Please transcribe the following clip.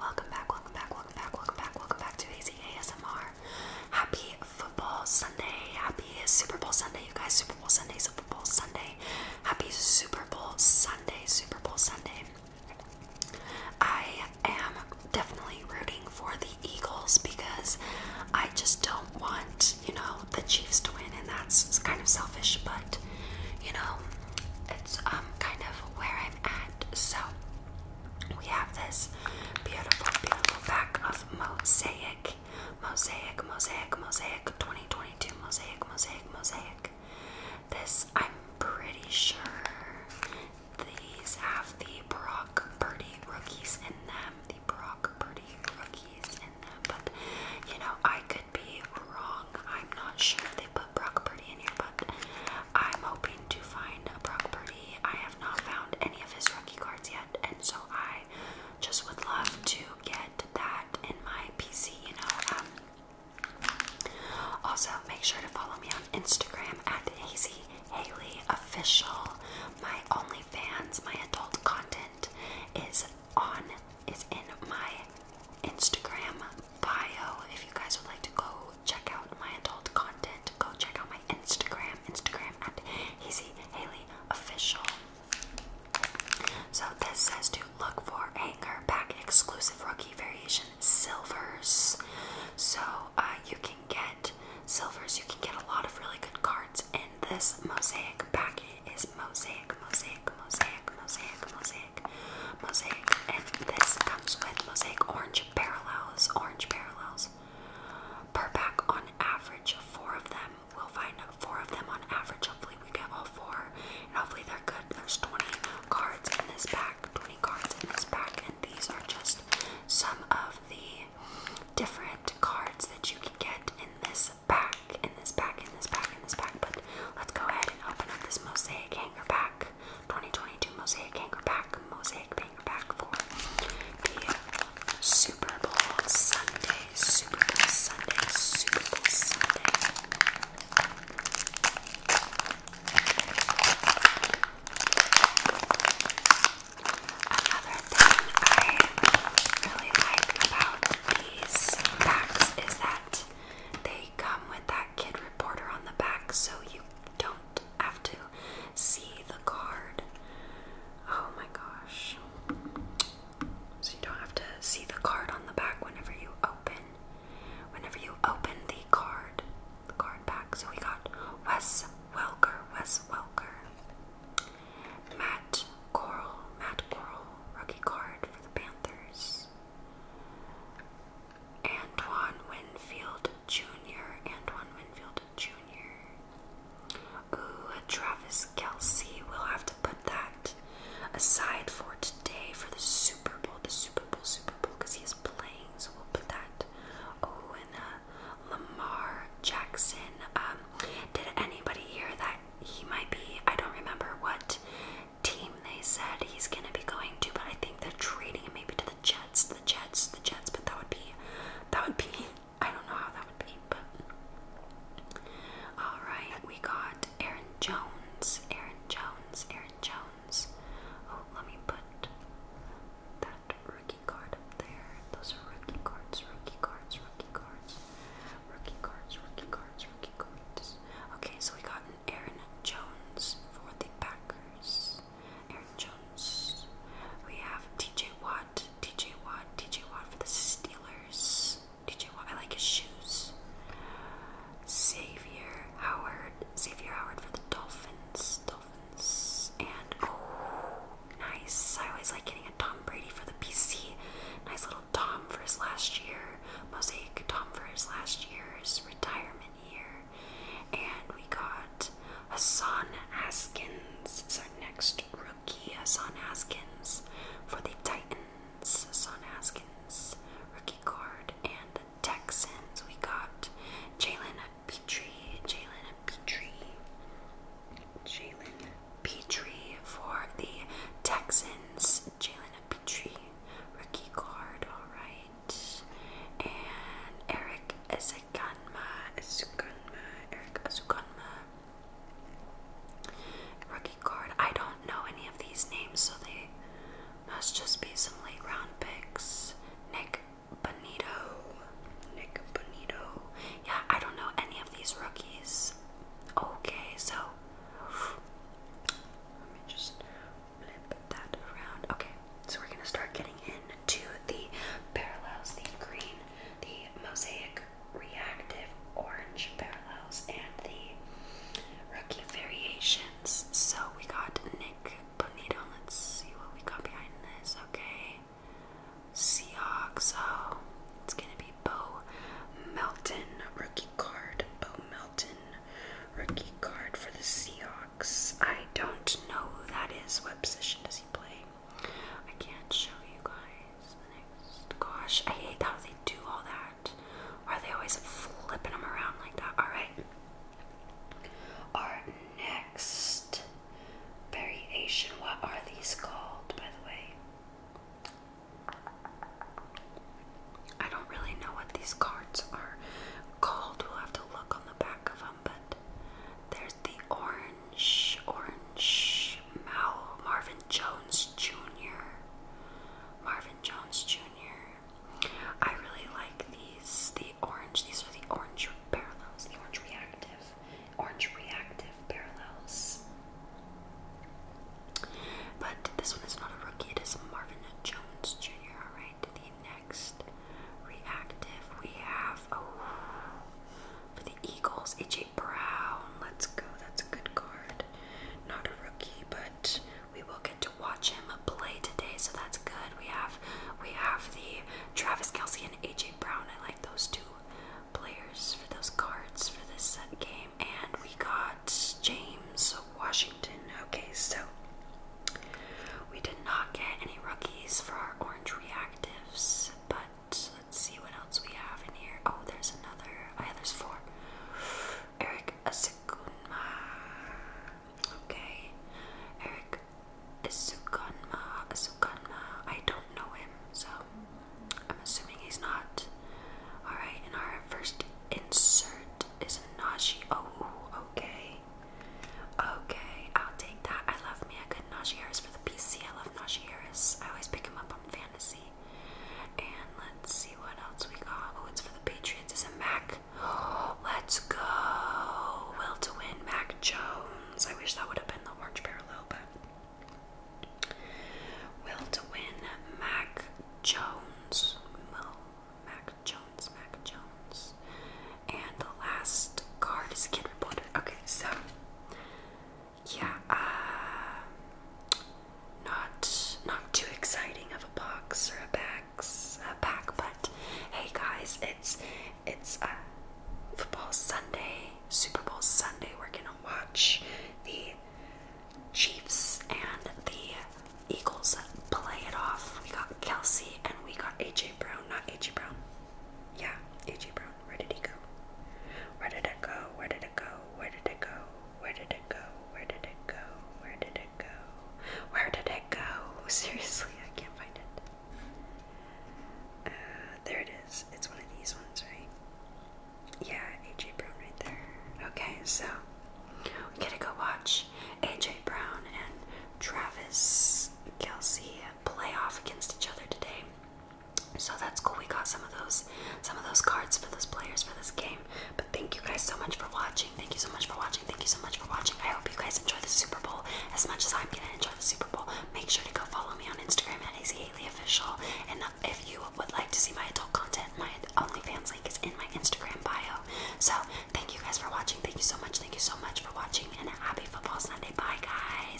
Welcome back, welcome back, welcome back, welcome back, welcome back to AZ ASMR. Happy football Sunday. Happy Super Bowl Sunday, you guys. Super Bowl Sunday, Super Bowl Sunday. Happy Super Bowl Sunday, Super Bowl Sunday. I am definitely rooting for the Eagles because I just don't want, you know, the Chiefs to win, and that's kind of selfish, but you know, it's um kind of where I'm at palette. So we have this beautiful, beautiful pack of mosaic, mosaic, mosaic, mosaic, 2022 mosaic, mosaic, mosaic. This I'm pretty sure these have the Brock Birdie rookies in them. The Brock Birdie rookies in them. But you know, I could be wrong. I'm not sure if they put Brock Purdy in here, but I'm hoping to find a Brock Purdy. I have not found any of his rookie cards yet, and so I just would love to get that in my PC, you know. Um, also, make sure to follow me on Instagram at Hazy Haley Official. My OnlyFans, my adult content is on is in my Instagram bio. If you guys would like to go check out my adult content, go check out my Instagram, Instagram at Easy So this says to look for hanger pack exclusive rookie variation silvers. So uh, you can get silvers, you can get a lot of really good cards in this mosaic package is Mosaic, Mosaic, Mosaic, Mosaic, Mosaic, Mosaic, and this comes with Mosaic Orange Parallels, Orange Parallels. Per pack on average, four of them. We'll find four of them on average. Hopefully, we get all four, and hopefully, they're good. There's 20 cards in this pack, 20 cards in this pack, and these are just some of the different cards that you can get in this Back pack, in this back in this back in this back. But let's go ahead and open up this mosaic hanger back. 2022 mosaic hanger back. mosaic hanger back for the Super Bowl Sunday, Super Bowl Sunday, Super Bowl Sunday these packs is that they come with that kid reporter on the back so you don't have to see the card. Oh my gosh. So you don't have to see the card on the back whenever you open whenever you open the card the card back. So we got Wes Welker, Wes Welker. Matt Coral, Matt Coral, rookie card for the Panthers. Antoine Winfield Jr. Antoine Winfield Jr. Ooh, Travis Kelsey. We'll have to put that aside for today for the Super Bowl. The Super Bowl, Super Bowl, because he is playing, so we'll put that. Oh, and uh, Lamar Jackson. Um, did anybody hear that he might be? I don't remember what team they said he's gonna be going to, but I think they're trading him maybe to the Jets, the Jets, the Jets. But that would be, that would be. I don't know how that would be, but all right. We got Aaron Jones, Aaron Jones, Aaron Jones. Oh, let me put that rookie card up there. Those are rookie cards, rookie cards, rookie cards, rookie cards, rookie cards, rookie cards. Okay, so we got an Aaron Jones for the Packers. Aaron Jones. We have TJ Watt, TJ Watt, TJ Watt for the Steelers. TJ Watt, I like his shoes. Xavier Howard, Xavier Howard for the Dolphins. And oh, nice. I always like getting a Tom Brady for the PC. Nice little Tom for his last year. Mosaic Tom for his last year's retirement year. And we got Hassan Haskins, is our next rookie. Hassan Haskins for the Titans. Hassan Haskins, rookie card. And the Texans, we got Jalen Petrie, Jalen Petrie, Jalen Petrie for the Texans. Jalen Petrie, rookie card, all right. And Eric Azukanma, Azukanma, Eric Azukanma. Rookie card. I don't know any of these names, so they must just be some late round picks. Nick Bonito, Nick Bonito. Yeah, I don't know any of these rookies. Okay, so let me just flip that around. Okay, so we're gonna start getting into the parallels, the green, the mosaic reactive orange parallels, and the rookie variations. So we got Nick Bonito. Let's see what we got behind this. Okay. Seahawks. Oh, it's going to be Bo Melton, rookie card. Bo Melton, rookie card for the Seahawks. I don't know who that is. What position does he play? I can't show you guys Gosh, I hate how they do all that. Why are they always flipping them around like that? Alright. Our next variation, what are these called, by the way? I don't really know what these cards are called. We'll have to look on the back of them, but there's the orange, orange Marvin Jones Jr. Marvin Jones Jr. I really like these, the orange, these are the orange parallels, the orange reactive, orange reactive parallels. But this one is not a rookie, it is Marvin Jones Jr. Alright, the next reactive we have oh for the Eagles, AJ Brown. Let's go, that's a good card. Not a rookie, but we will get to watch him play today, so that's good. We have we have the Travis Kelsey and AJ Brown. I like those two players for those cards for this set game. And we got James Washington. Okay, so we did not get any rookies for our orange reactives, but let's see what else we have in here. Oh, there's another. Oh, yeah, there's four. Eric Okay, Eric Sukunma. Sukunma. I don't know him, so I'm assuming he's not. All right, and our first insert is Nashi. Oh, okay, okay. I'll take that. I love me a good Najee Harris for the PC. I love Najee Harris. I always pick him up on fantasy. And let's see what else we got. Oh, it's for the Patriots. It's a Mac. Oh, let's go. Will to win, Mac Jones. I wish that would have been the orange parallel, but Will to win, Mac Jones. Will Mac Jones, Mac Jones. And the last card is Kid Reporter. Okay, so yeah, uh, not not too exciting of a box or a bags a pack, but hey guys, it's it's uh, football Sunday, Super Bowl Sunday. We're gonna watch the Chiefs and the Eagles play it off. We got Kelsey and we got AJ Brown, not AJ Brown. Yeah, AJ Brown. Where did it go? Where did it go? Where did it go? Where did it go? Where did it go? Where did it go? Where did it go? Seriously, I can't find it. Uh, there it is. It's one of these ones, right? Yeah, AJ Brown right there. Okay, so we are going to go watch AJ Brown and Travis Kelsey play off against each other today. So that's cool. We got some of those some of those cards for those players for this game. But thank you guys so much for watching. Thank you so much for watching. Thank you so much for watching. I hope you guys enjoy the Super Bowl as much as I'm gonna enjoy the Super Bowl. Make sure to go follow me on Instagram at AZHaleyOfficial. And if you would like to see my adult content, my OnlyFans link is in my Instagram bio. So thank you guys for watching. Thank you so much. Thank you so much for watching. And happy football Sunday. Bye guys.